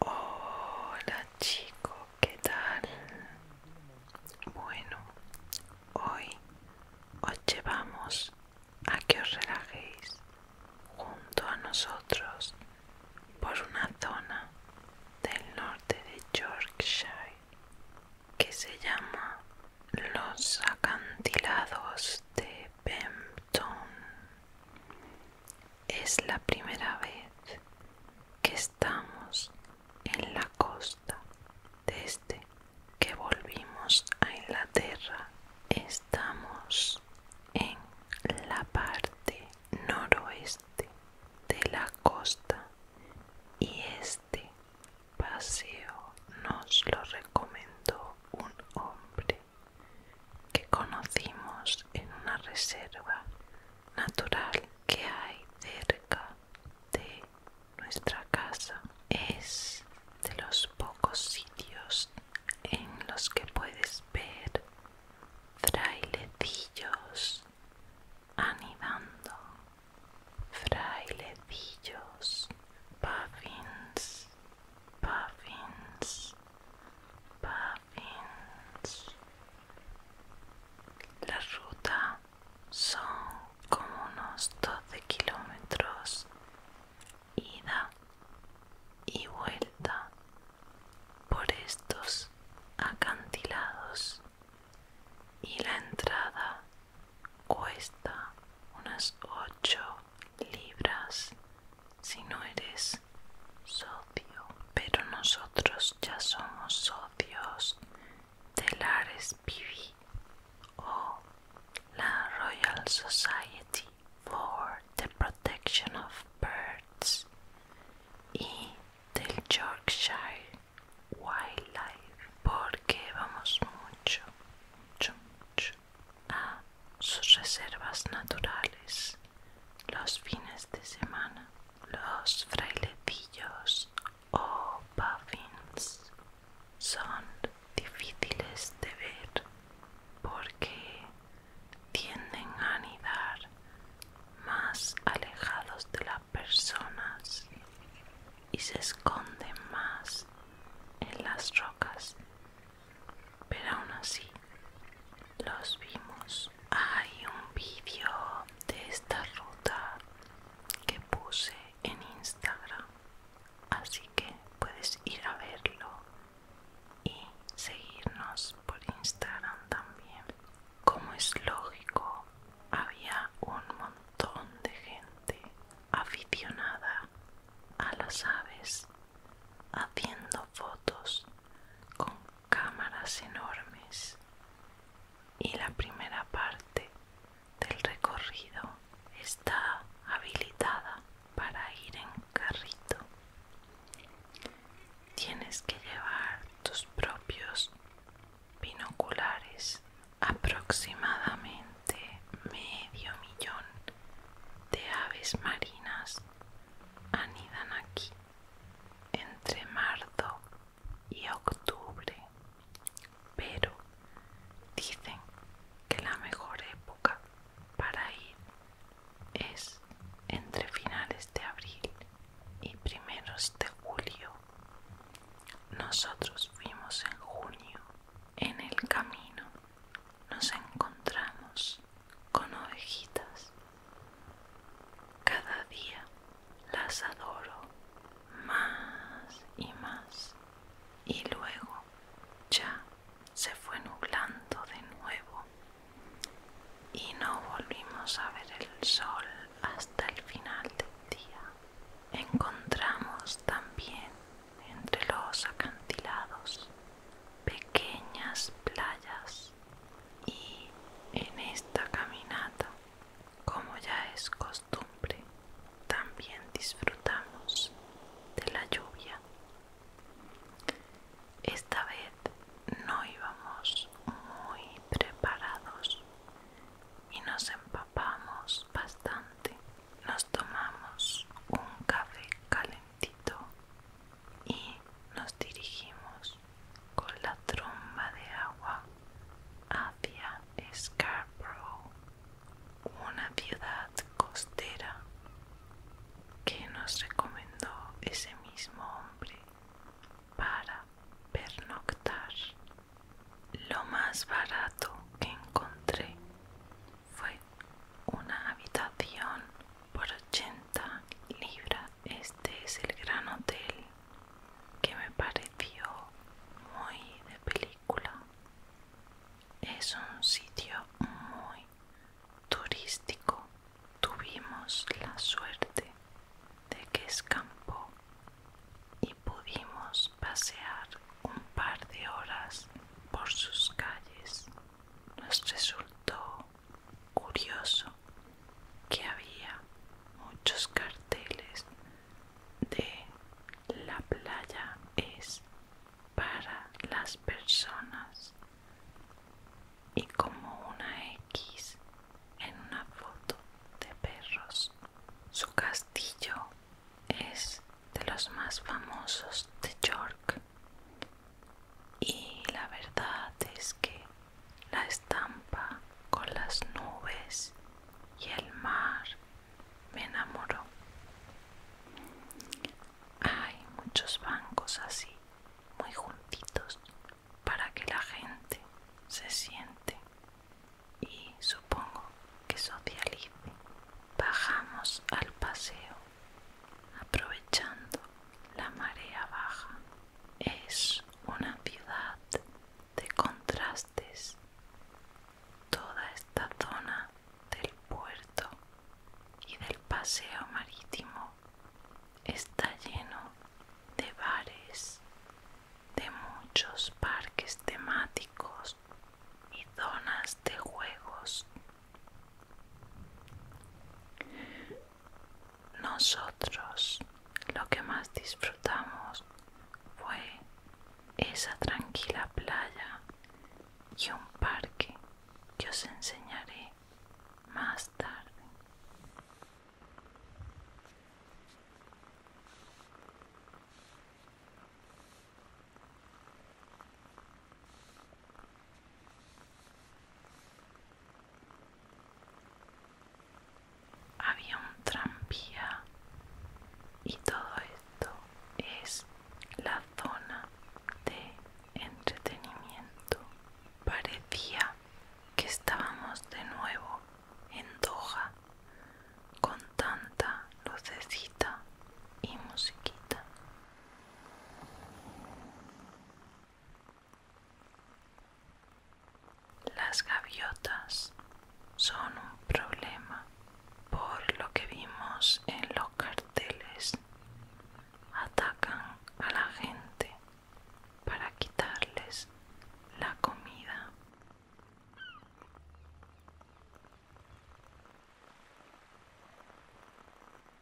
Hola chico, ¿qué tal? Bueno, hoy os llevamos a que os relajéis junto a nosotros por una zona del norte de Yorkshire que se llama los acantilados de Pempton Es la primera vez que estamos en la costa desde que volvimos a Inglaterra. Estamos en la parte noroeste de la costa y este paseo nos lo recomendó un hombre que conocimos en una reserva natural que hay cerca de nuestra casa. Es de los pocos sitios en los que puedes ver frailecillos anidando, frailecillos, puffins, puffins, puffins. La ruta son como unos 12 kilómetros ida y vuelta por estos acantilados y la entrada cuesta unas 8 libras si no eres socio pero nosotros ya somos socios del Ares o la Royal Society for the protection of birds y del Yorkshire Wildlife porque vamos mucho, mucho, a sus reservas naturales los fines de semana los frailecillos o puffins son difíciles de ver porque tienden a anidar más alejados de las personas y se esconden más en las rocas pero aún así los vimos hay un vídeo de esta ruta que puse en instagram así que puedes ir a verlo y seguirnos por Instagram también. Como es lógico, había un montón de gente aficionada a las aves haciendo fotos con cámaras enormes y la primera parte del recorrido está habilitada para ir en carrito. Tienes que llevar tus propios binoculares. Aproximadamente medio millón de aves marinas anidan aquí entre marzo y octubre pero dicen que la mejor época para ir es entre finales de abril y primeros de julio. Nosotros fuimos en junio. En el camino nos encontramos con ovejitas. Cada día las adoro más y más y luego ya se fue nublando de nuevo y no volvimos a ver el sol hasta el final del día. Encontramos también entre los acantilados pequeñas playas y en esta caminata como ya es costumbre, también disfrutamos de la lluvia. Esta vez no íbamos muy preparados y nos empapamos bastante. Nos tomamos un café calentito y nos dirigimos con la tromba de agua hacia Scarborough, una ciudad costera que nos recomendó ese mismo hombre para pernoctar. Lo más barato que encontré fue una habitación por 80 libras. Este es el gran hotel que me pareció muy de película. Es un sitio muy turístico. Tuvimos la suerte de que escampó y pudimos pasear un par de horas por sus calles. Nos resultó curioso que había muchos carteles de la playa es para las personas y como una X en una foto de perros. Su castillo es de los más famosos de York y la verdad es que la estampa con las nubes y el mar me enamoró. Hay muchos bancos así, muy juntitos, para que la gente se siente y supongo que socialice. Bajamos al paseo aprovechando la marea baja. Es una ciudad de contrastes. Toda esta zona del puerto y del paseo marítimo está lleno de bares, de muchos parques temáticos y zonas de juegos. Nosotros lo que más disfrutamos fue esa tranquila playa y un parque que os enseñaré más tarde. Había un tranvía y todo esto es la zona de entretenimiento. Parecía que estábamos de nuevo en Doha con tanta lucecita y musiquita. Las gaviotas son un problema por lo que vimos en los carteles. Atacan a la gente para quitarles la comida.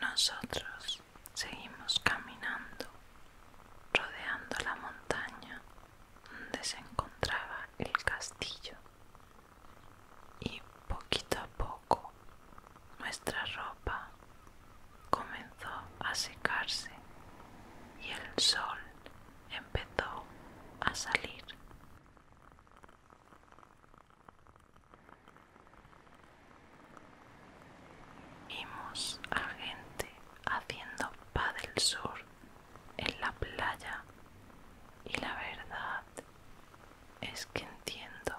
Nosotros seguimos caminando, rodeando la montaña donde se encontraba el castillo y poquito a poco nuestra ropa comenzó a secarse y el sol empezó a salir. Vimos a gente haciendo del sur en la playa y la verdad es que entiendo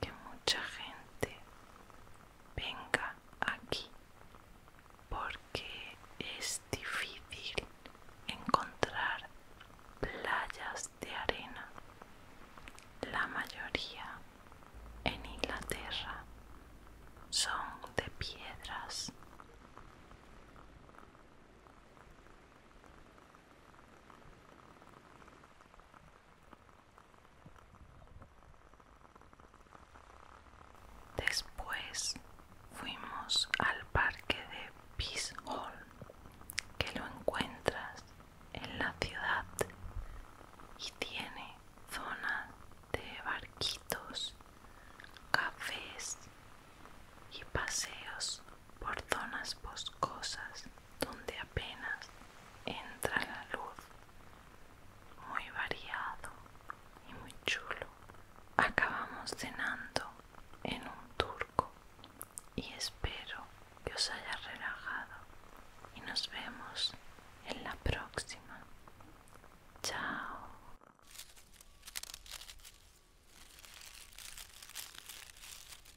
que mucha gente venga aquí porque es difícil encontrar playas de arena. La mayoría en Inglaterra son de piedras. Después fuimos al parque de Peace Hall, que lo encuentras en la ciudad y tiene zona de barquitos, cafés y paseos por zonas boscosas donde apenas entra la luz, muy variado y muy chulo. Acabamos cenando en un turco y espero que os haya relajado y nos vemos en la próxima. Chao.